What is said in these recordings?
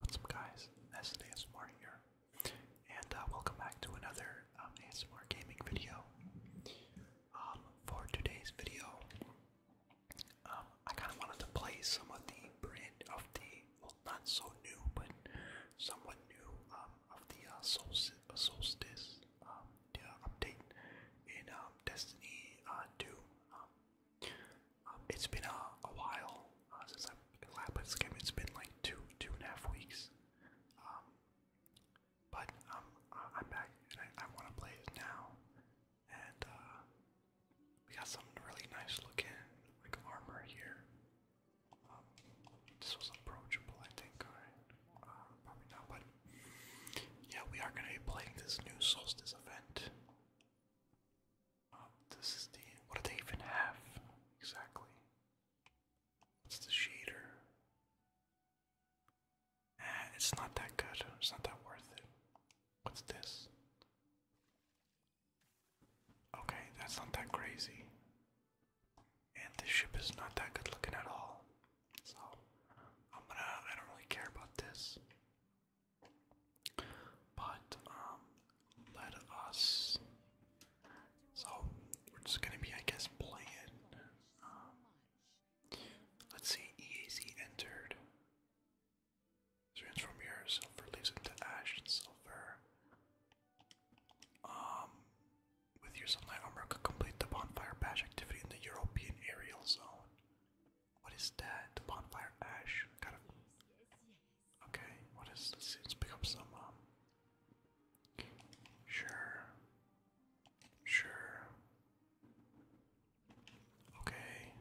What's up guys, That's ASMR here, and uh, welcome back to another um, gaming video. Um, for today's video, um, I kind of wanted to play some of the brand of the, well not so new, but somewhat new, um, of the uh, uh, Solstice update in Destiny uh, 2. Um, it's been a, a while uh, since I've last played this game. It's been like two, two and a half weeks. Um, but um, I'm back and I, I want to play it now. And uh, we got some really nice looking like armor here. Um, this was approachable, I think. Uh, probably not, but yeah, we are going to be playing this new Solstice event. Um, this is the. What do they even have exactly? It's the shader. Ah, it's not that good. It's not that worth it. What's this? Okay, that's not that crazy. And this ship is not that good looking at all. So, I'm gonna. I don't really care about this. But um, let us. So we're just gonna be, I guess, playing. Um, let's see. EAC entered. Transform your silver leaves ash silver. Um, with your sunlight armor, complete the bonfire bash activity in the European aerial zone. What is that? The bonfire ash. Gotta Okay, what is this? Let's pick up some, um, sure, sure, okay,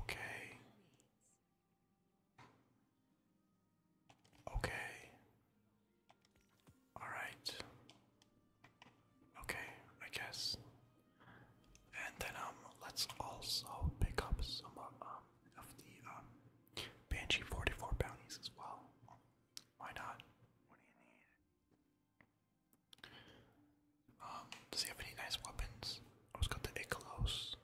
okay, okay, alright, okay, I guess, and then um, let's also pick up some uh, um, of the um Banshee 44 bounties as well. Why not? Um, does he have any nice weapons? Oh, he got the Icalos.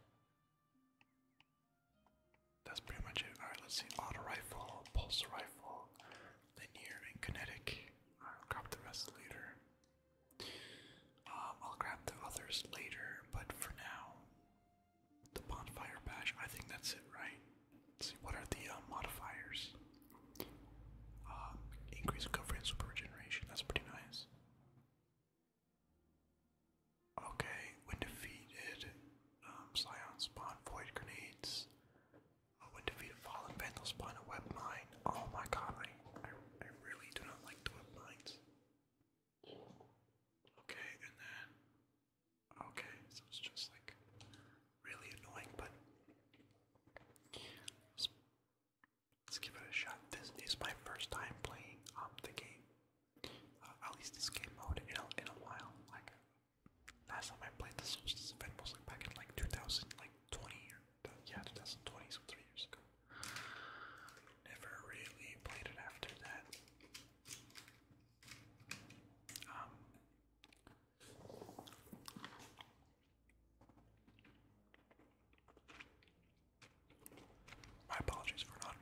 That's pretty much it. Alright, let's see. Auto rifle, pulse rifle, linear, and kinetic. I'll grab the rest later. Um, I'll grab the others later, but for now, the bonfire badge, I think that's it, right? see, what are the uh, modifiers? Um, increase recovery and super regeneration, that's pretty nice. Okay, when defeated, um, spawn void grenades. Uh, fallen vandal spawn a web mine. Oh my god, I, I really do not like the web mines. Okay, and then. Okay, so it's just like really annoying, but let's, give it a shot. This is my first time playing um, the game, uh, at least this game mode in in a while. Like last time I played the Solstice was like back in like 2000, like 20 yeah, 2020, so three years ago. Never really played it after that. Um, my apologies for not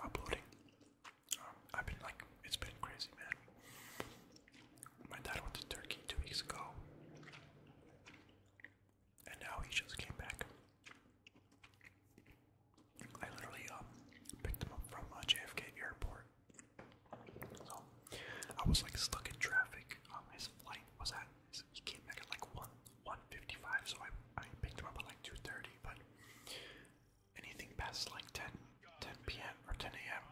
uploading. Um, I've been like, it's been crazy, man. My dad went to Turkey two weeks ago and now he just came back. I literally um, picked him up from uh, JFK Airport. So I was like stuck in traffic. Um, his flight was at his, he came back at like one one fifty five. So I I picked him up at like two thirty. But anything past like 10, 10 p.m. or ten a.m.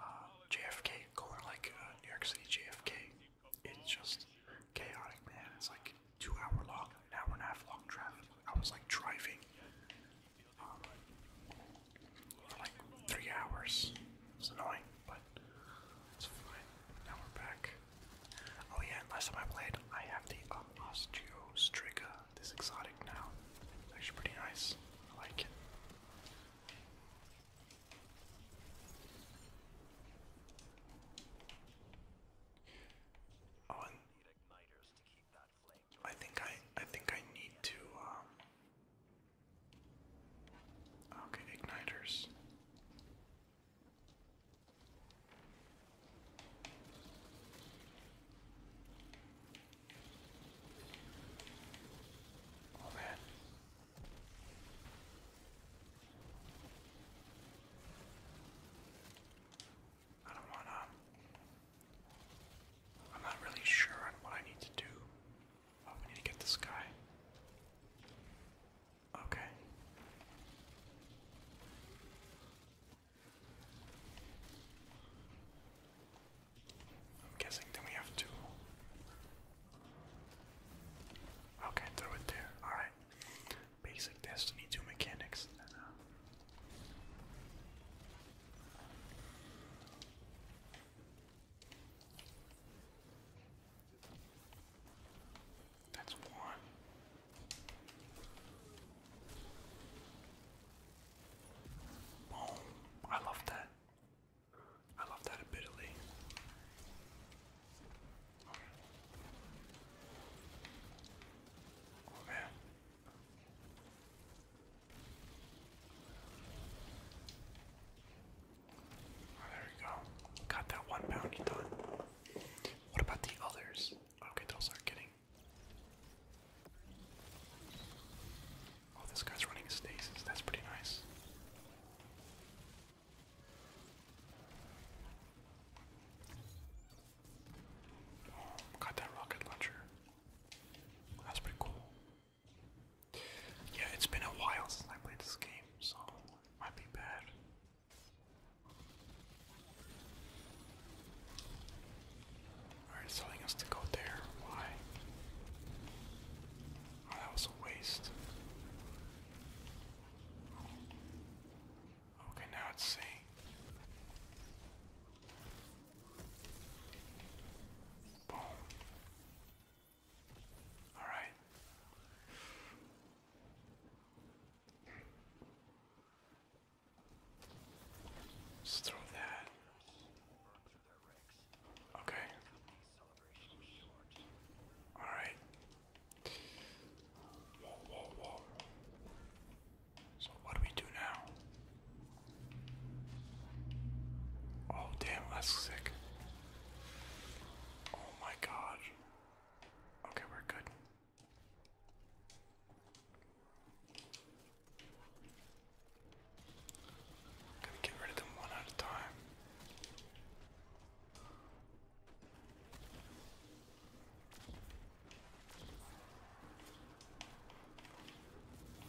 Uh, JFK going like uh, New York City JFK it's just chaotic, man. It's like two hour long, an hour and a half long traffic. I was like driving um, for like three hours. It's annoying, but it's fine. Now we're back. Oh yeah, and last time I played, I have the um, Osteostriga, this exotic now. It's actually pretty nice. I like it. Oh, and I think I I think I need to um Okay, igniters. Oh man, I don't wanna. I'm not really sure on what I need to do. we oh, need to get this guy. Okay. I'm guessing then we have to Okay, throw it there. Alright. Basic Destiny 2 mechanics. that's one. Boom. I love that. I love that ability there we go. Got that one bounty done. What about the others? Okay, those are not getting. Oh, this guy's running stasis. That's pretty nice. Got that rocket launcher. That's pretty cool. Yeah, it's been a while since I played this game, so it might be bad. Alright, telling us to go there. Why? Oh, that was a waste. Okay, now it's C. Boom. All right. Just throw that. Okay. All right. So what do we do now? Oh damn, that's sick. Oh my god. Okay, we're good. Gotta get rid of them one at a time.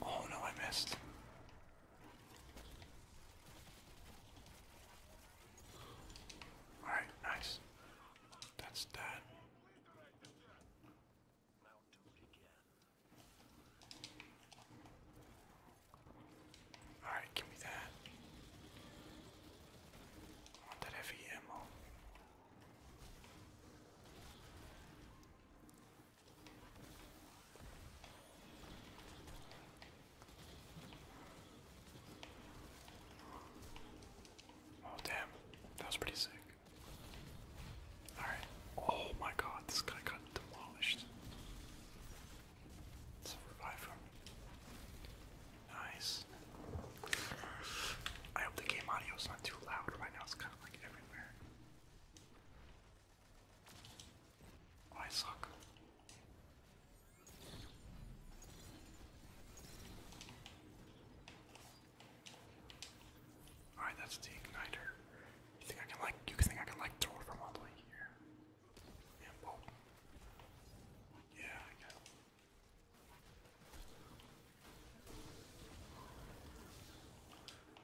Oh no, I missed. Alright, nice. That's that. Alright, give me that. want that heavy ammo. Oh damn, that was pretty sick. Alright. Oh my god, this guy got demolished. Nice. I hope the game audio not too loud right now. It's kind of like everywhere. Oh, I suck. All right, that's the igniter. You think I can like? You think I can like throw it from all here?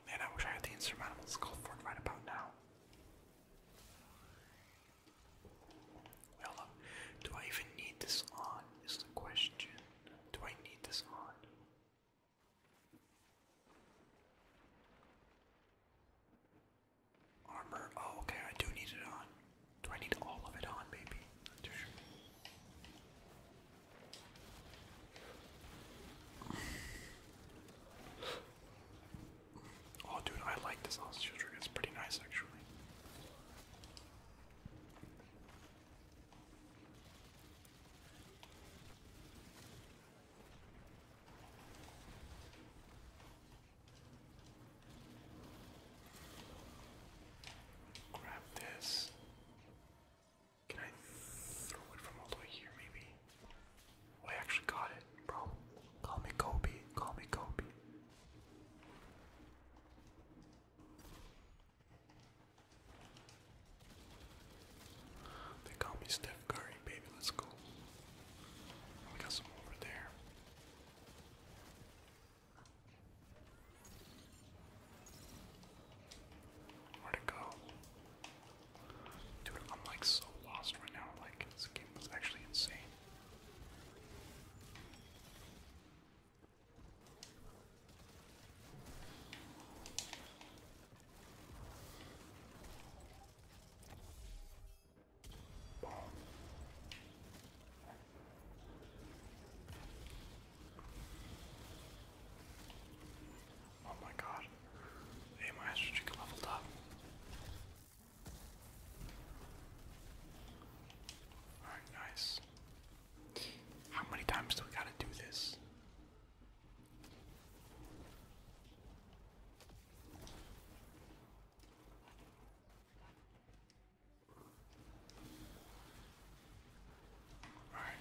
Man, I wish I had the insurmountable skull fort right about now. do I even need this on? Is the question. Do I need this on? Armor. Oh, okay. I do need it on. Do I need all of it on, maybe? Not too sure. Oh, dude, I like this hostage trick. It's pretty nice, actually. Grab this. Can I throw it from all the way here, maybe? Oh, I actually got it, bro. Call me Kobe. Call me Kobe. They call me Steph Curry, baby. Let's go. We got some over there. Where'd it go? Dude, I'm like so lost right now. Like, this game was actually insane. Oh my god. Hey, my strategic leveled up. Alright, nice. How many times do we gotta do this? All right.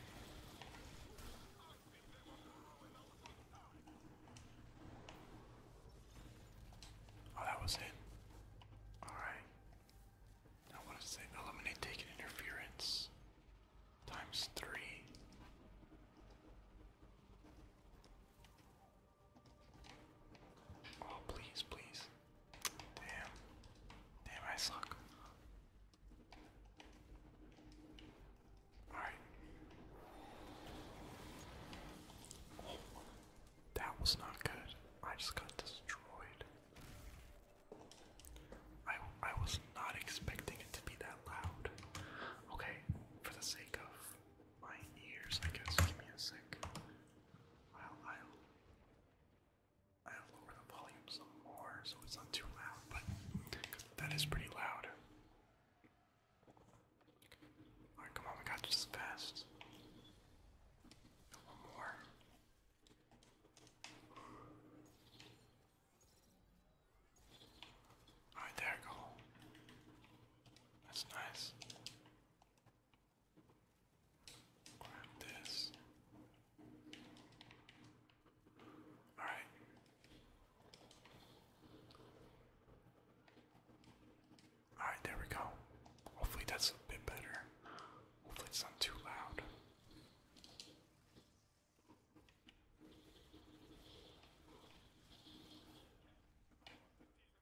Oh, that was it. All right. Now what does it eliminate taking interference? Times three. Oh, please, please. Damn. Damn, I suck. Alright. that was not good. I just got destroyed. I, I was not expecting it to be that loud. Okay, for the sake of my ears, I guess. Give me a sec. I'll, I'll, I'll lower the volume some more so it's not too loud, but that is pretty loud. Alright, come on, we got this fast. One more. Alright, there go. That's nice. Grab this. All right. All right, there we go. Hopefully that's a bit better. Hopefully it's not too loud.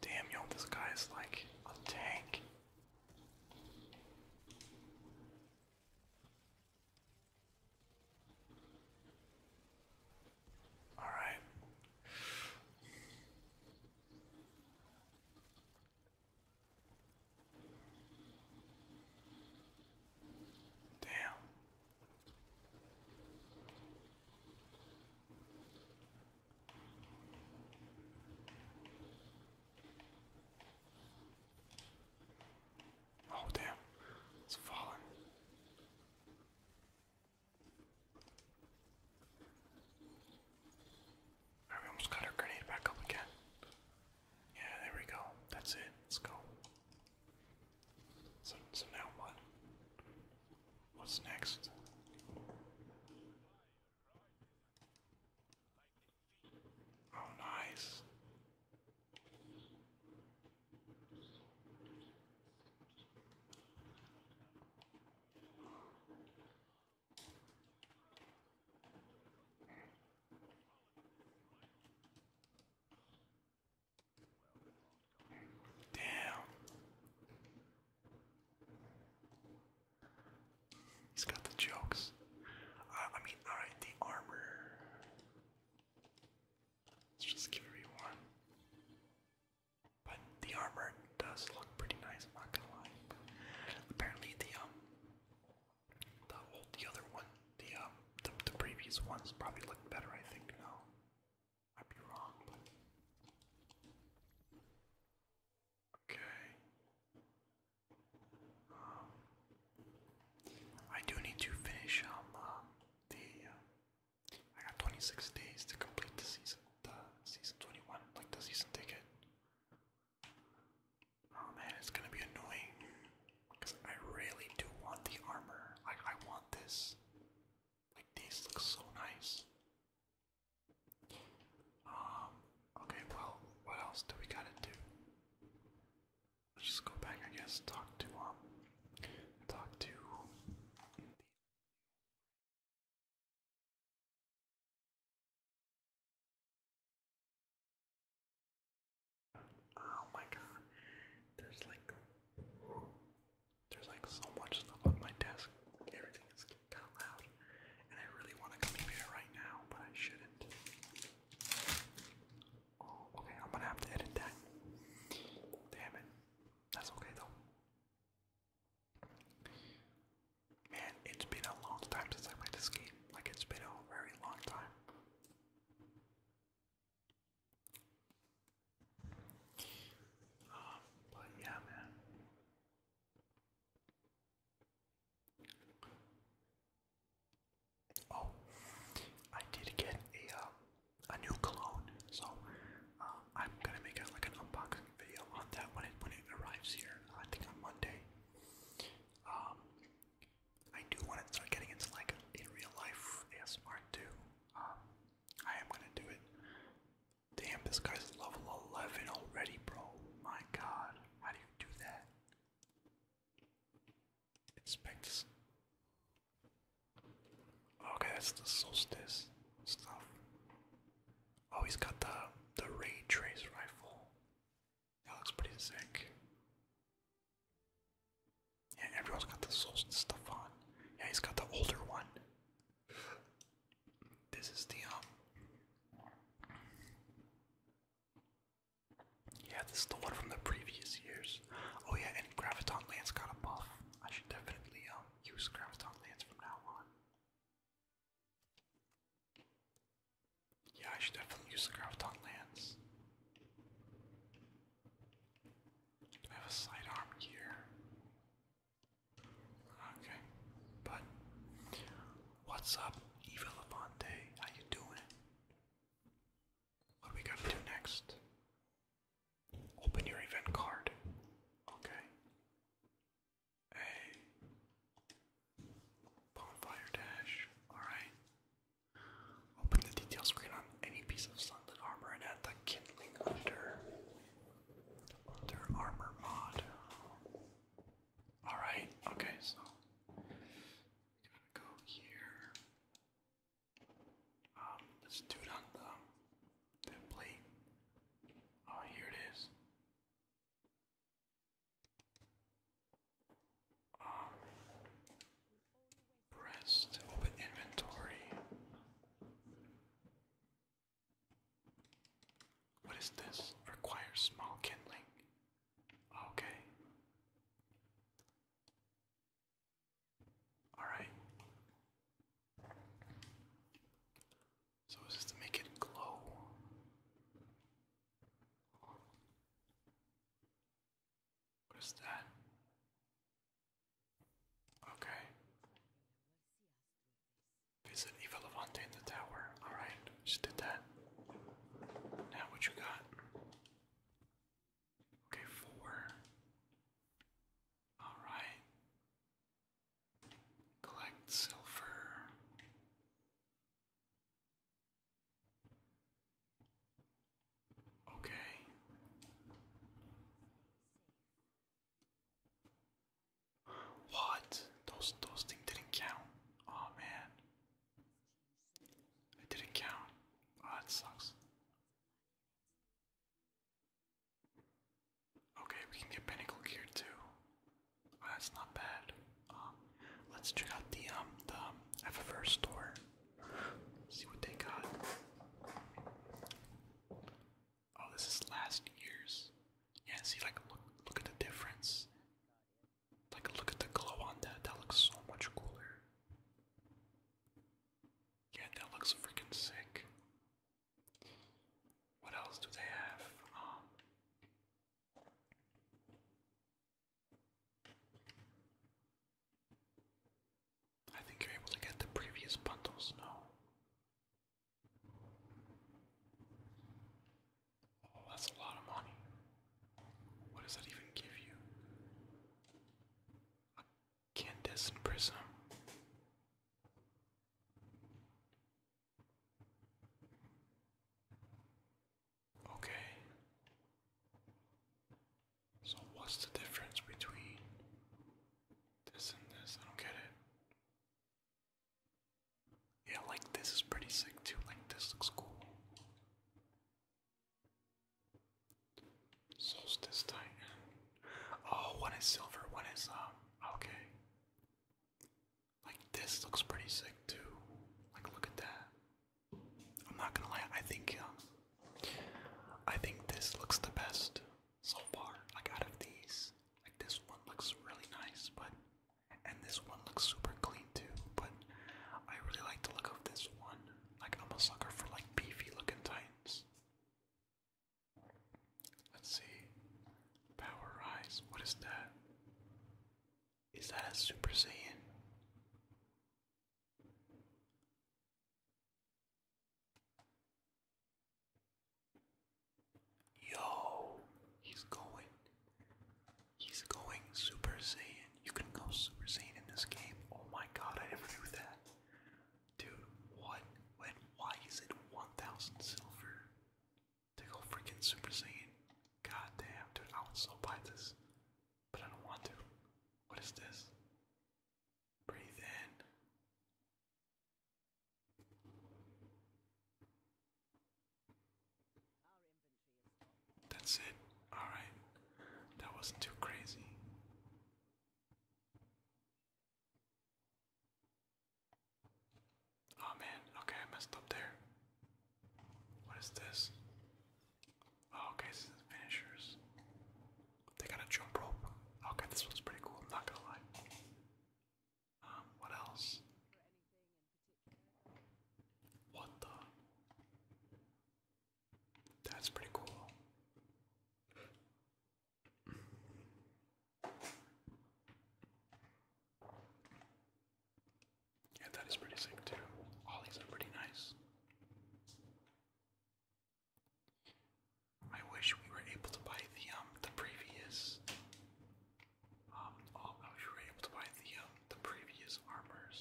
Damn, yo, this guy is like a tank. All right. Damn. Oh, damn, it's falling. All right, almost got our grenade back up again. Yeah, there we go. That's it. Let's go. So, so now what? What's next? Oh, nice. Damn. He's got the jokes. I mean, alright, the armor. Let's just give it But the armor does look pretty nice, I'm not gonna lie. Apparently the um the old, the other one, the um, the, previous ones probably look better. I think now. Might be wrong, okay. Um, I do need to finish um uh, the. Uh, I got 26 days to complete the season, the season 21, like the season ticket. Oh man, it's gonna be annoying. Because I really do want the armor. Like, I want this. Like, these look so nice. Um, okay, well, what else do we gotta do? Let's just go back, I guess, talk to, um, talk to. Oh my god. There's like there's like so much stuff on my desk. Everything is kind of loud. And I really want to come here right now, but I shouldn't. Oh, okay, I'm gonna have to edit that. Damn it. That's okay though. Man, it's been a long time since I played this game. Like, it's been a very long time but yeah, man. Oh, I did get a um, a new clone, so uh, I'm gonna make a, like an unboxing video on that when it when it arrives here. I think on Monday. Um, I do want to start getting into like in real life ASMR too. Um, I am gonna do it. Damn, this guy's level 11 already, bro. My god, how do you do that? Inspect. Okay, that's the solstice stuff. Oh, he's got the the ray trace rifle. That looks pretty sick. Yeah, everyone's got the Souls stuff on. Yeah, he's got the older one. This is the um Yeah, this is the one from the previous years. Oh yeah, and Graviton Lance got a buff. I should definitely um use Graviton Lance from now on. Yeah, I should definitely use Graviton Lance. I have a sidearm here? Okay. But what's up, Eva Levante? How you doing? What do we gotta do next? Open your event card. Okay. Hey. Bonfire dash. Alright. Open the detail screen on any piece of sunlit armor and add the kindling under under armor mod. Alright, okay, so gotta go here. Um, let's do it on the, the plate. Oh, here it is. Um, open inventory. What is this? Requires small kindling. Okay. Alright. So is this to make it glow? What is that? Okay. Visit Eva in the tower. Alright, she did that. Now what you got? Okay, four. Alright. Collect silver. Okay. What? Those those things didn't count. Oh man. It didn't count. that sucks. Okay, we can get pinnacle gear too. that's not bad. Um, let's check out the um the um, store. See what they got. Oh, this is last year's. Yeah, see like look look at the difference. Like look at the glow on that. That looks so much cooler. Yeah, that looks freaking sick. What else do they have? Um, I think you're able to get the previous bundles, no? Oh, that's a lot of money. What does that even give you? A Candace Prism. Okay. So what's the difference between this and this? I don't get it. Yeah, like this is pretty sick too. Like this looks cool. Solstice Titan. Oh, one is silver, one is um okay. Like this looks pretty sick too. Like look at that. I'm not gonna lie. I think um, I think this looks the best so far. Like out of these, like this one looks really nice, but and this one looks super clean too. But I really like the look of this one. Like I'm a sucker for like beefy looking titans. Let's see. Power Rise. What is that? Is that a Super Saiyan? Yo, he's going. He's going Super Saiyan. You can go Super Saiyan in this game. Oh my god, I never knew that. Dude, what? When? Why is it 1000 silver to go freaking Super Saiyan? God damn, dude, I would so buy this. But I don't want to. What is this? Breathe in. That's it. Alright. That wasn't too crazy. Oh man, okay, I messed up there. What is this? Oh, okay, this is finishers. They got a jump rope. Okay, this one's pretty cool, not gonna lie. Um, what else? What the? That's pretty cool. Yeah, that is pretty sick too. All these are pretty nice. I wish we were able to buy the um the previous um oh I wish we were able to buy the um the previous armors.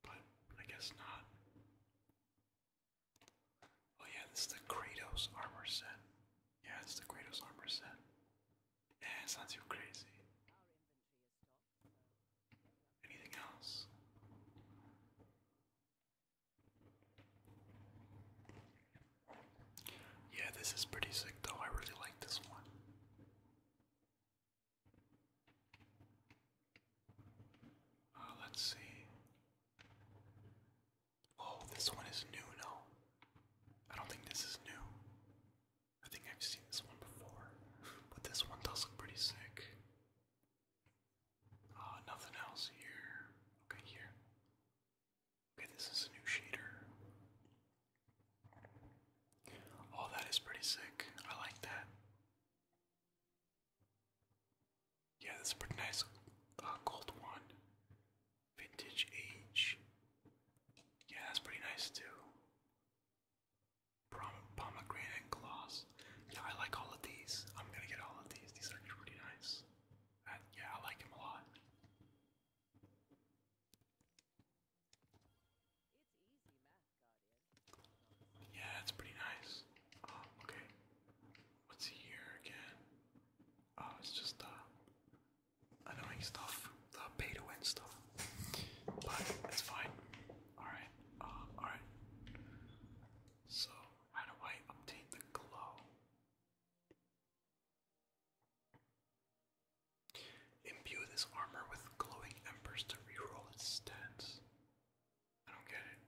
But I guess not. Oh yeah, this is the Kratos armor set. Yeah, it's the Kratos armor set. Yeah, it's too crazy. Anything else? Yeah, this is pretty sick though. I really like this one. Uh, let's see. Oh, this one is new, no. I don't think this is new. I think I've seen this one before, but this one does look pretty sick. Uh, nothing else here. Okay, here. Okay, this is a new shader. Oh, that is pretty sick. I like that. Yeah, that's pretty nice uh, gold one. Vintage age. Yeah, that's pretty nice too pomegranate gloss. Yeah, I like all of these. I'm gonna get all of these. These are pretty nice. Uh, yeah, I like them a lot. Yeah, that's pretty nice. Oh, okay, what's here again? Oh, it's just uh, annoying stuff, the pay win stuff. But it's fine. Alright, uh, alright. So, how do I obtain the glow? Imbue this armor with glowing embers to reroll its stats. I don't get it.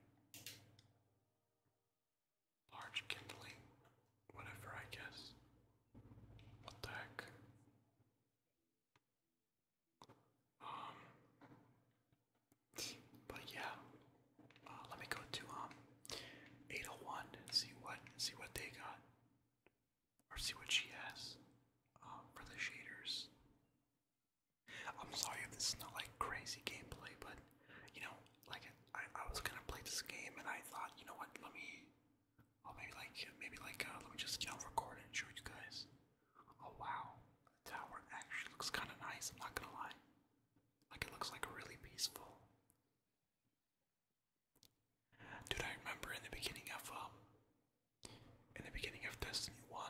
Large kindling, whatever, I guess. What the heck? Um, but yeah, uh, let me go to um 801 and see what see what they got, or see what she has um, for the shaders. I'm sorry if this is not like crazy gameplay, but you know, like I, I was gonna play this game and I thought, you know what, let me, oh maybe like maybe like uh, let me just you know record it and show you guys. Oh wow, the tower actually looks kind of nice, I'm not gonna lie. Like, it looks like really peaceful. Dude, I remember in the beginning of, um, in the beginning of Destiny 1,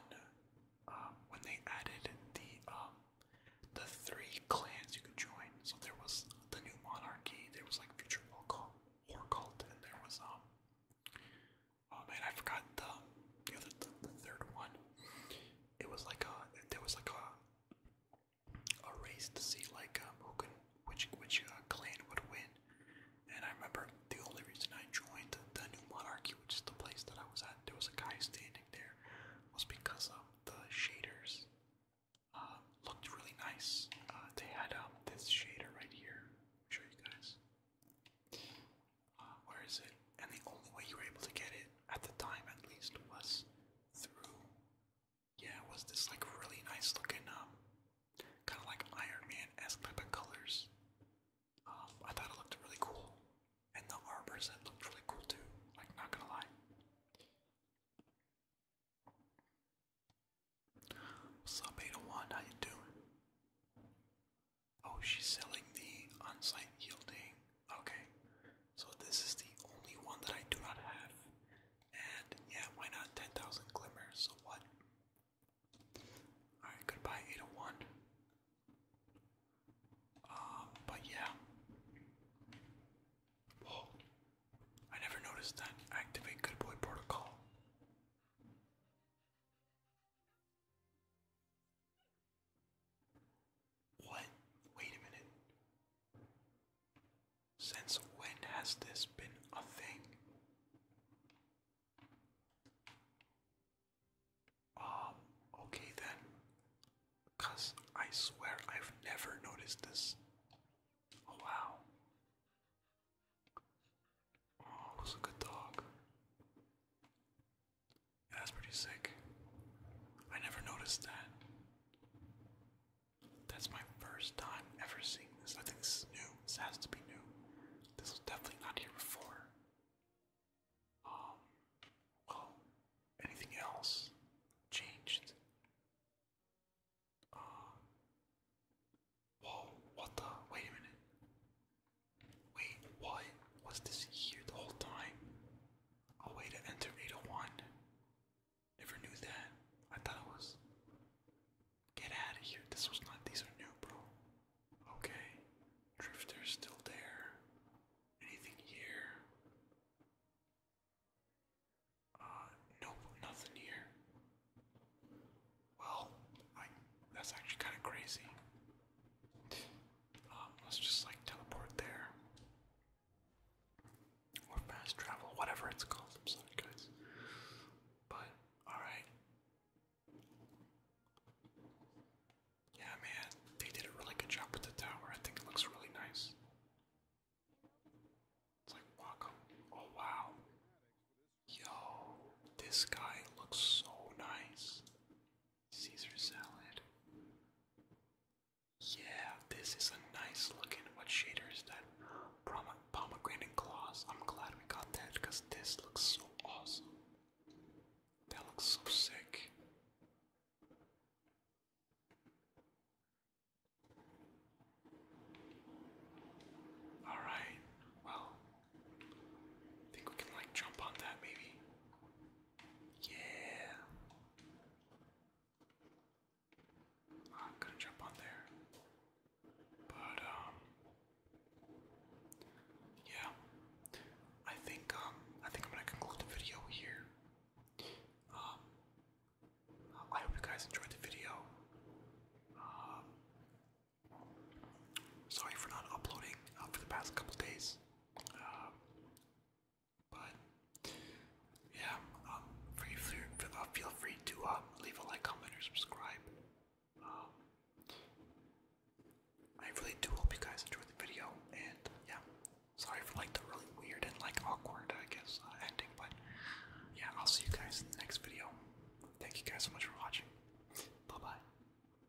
um, when they added the, um, the three clans you could join. So there was the New Monarchy, there was like Future Orc Cult, and there was, um, Oh man, I forgot the the the, third one. It was like a there was like a a race to see like um, who could which which uh, clan would win. And I remember the only reason I joined the New Monarchy, which is the place that I was at, there was a guy standing there, was because of the shaders uh, looked really nice. Uh, they had um, this shader right here. i you guys where is it? And the only way you were able to get it, at the time at least, was through. Yeah, it was this like really nice looking, um, kind of like Iron Man esque type of colors. Um, I thought it looked really cool. And the arbor set looked really cool too, like, not gonna lie. What's Beta oh One? How you doing? Oh, she's selling the on-site yielding. Okay, so this is the only one that I do not have. And yeah, why not 10,000 glimmers? So what? Alright, goodbye 801. Um, but yeah. Whoa. I never noticed that. Activate good boy protocol. What? Wait a minute. Since when has this been a thing? Um, okay then. Because I swear I've never noticed this. Oh wow. Oh, it a good dog that's pretty sick. I never noticed that. That's my first time ever seeing this. I think this is new. This has to be new. This was definitely not here before. Um, well, anything else changed? Uh, whoa, what the? Wait a minute. Wait, what? Was this here the whole time? A way to enter 801. Never knew that. I thought it was. Get out of here. This was not. These are new, bro. Okay. Drifter's still there. Anything here? Uh, nope, nothing here. Well, That's actually kind of crazy. Um, let's just like teleport there. Or fast travel, whatever it's called. But, alright. Yeah, man, they did a really good job with the tower. I think it looks really nice. It's like, walk Oh, wow. Yo, this guy looks so nice. Caesar salad. Yeah, this is a nice looking. What shader is that? Pomegranate gloss. I'm glad we got that because this looks so awesome. That looks so sick. Alright, well, I Think we can like jump on that maybe? Yeah. I'm gonna jump on there. But um yeah. I think um I think I'm gonna conclude the video here. Um I hope you guys enjoyed the video. Um Sorry for not uploading uh, for the past couple days. Um, but yeah, um, free, free, feel free to um, leave a like, comment, or subscribe. Um, I really do hope you guys enjoyed the video, and yeah, sorry for like the really weird and like awkward, I guess, uh, ending. But yeah, I'll see you guys in the next video. Thank you guys so much for watching. Bye bye.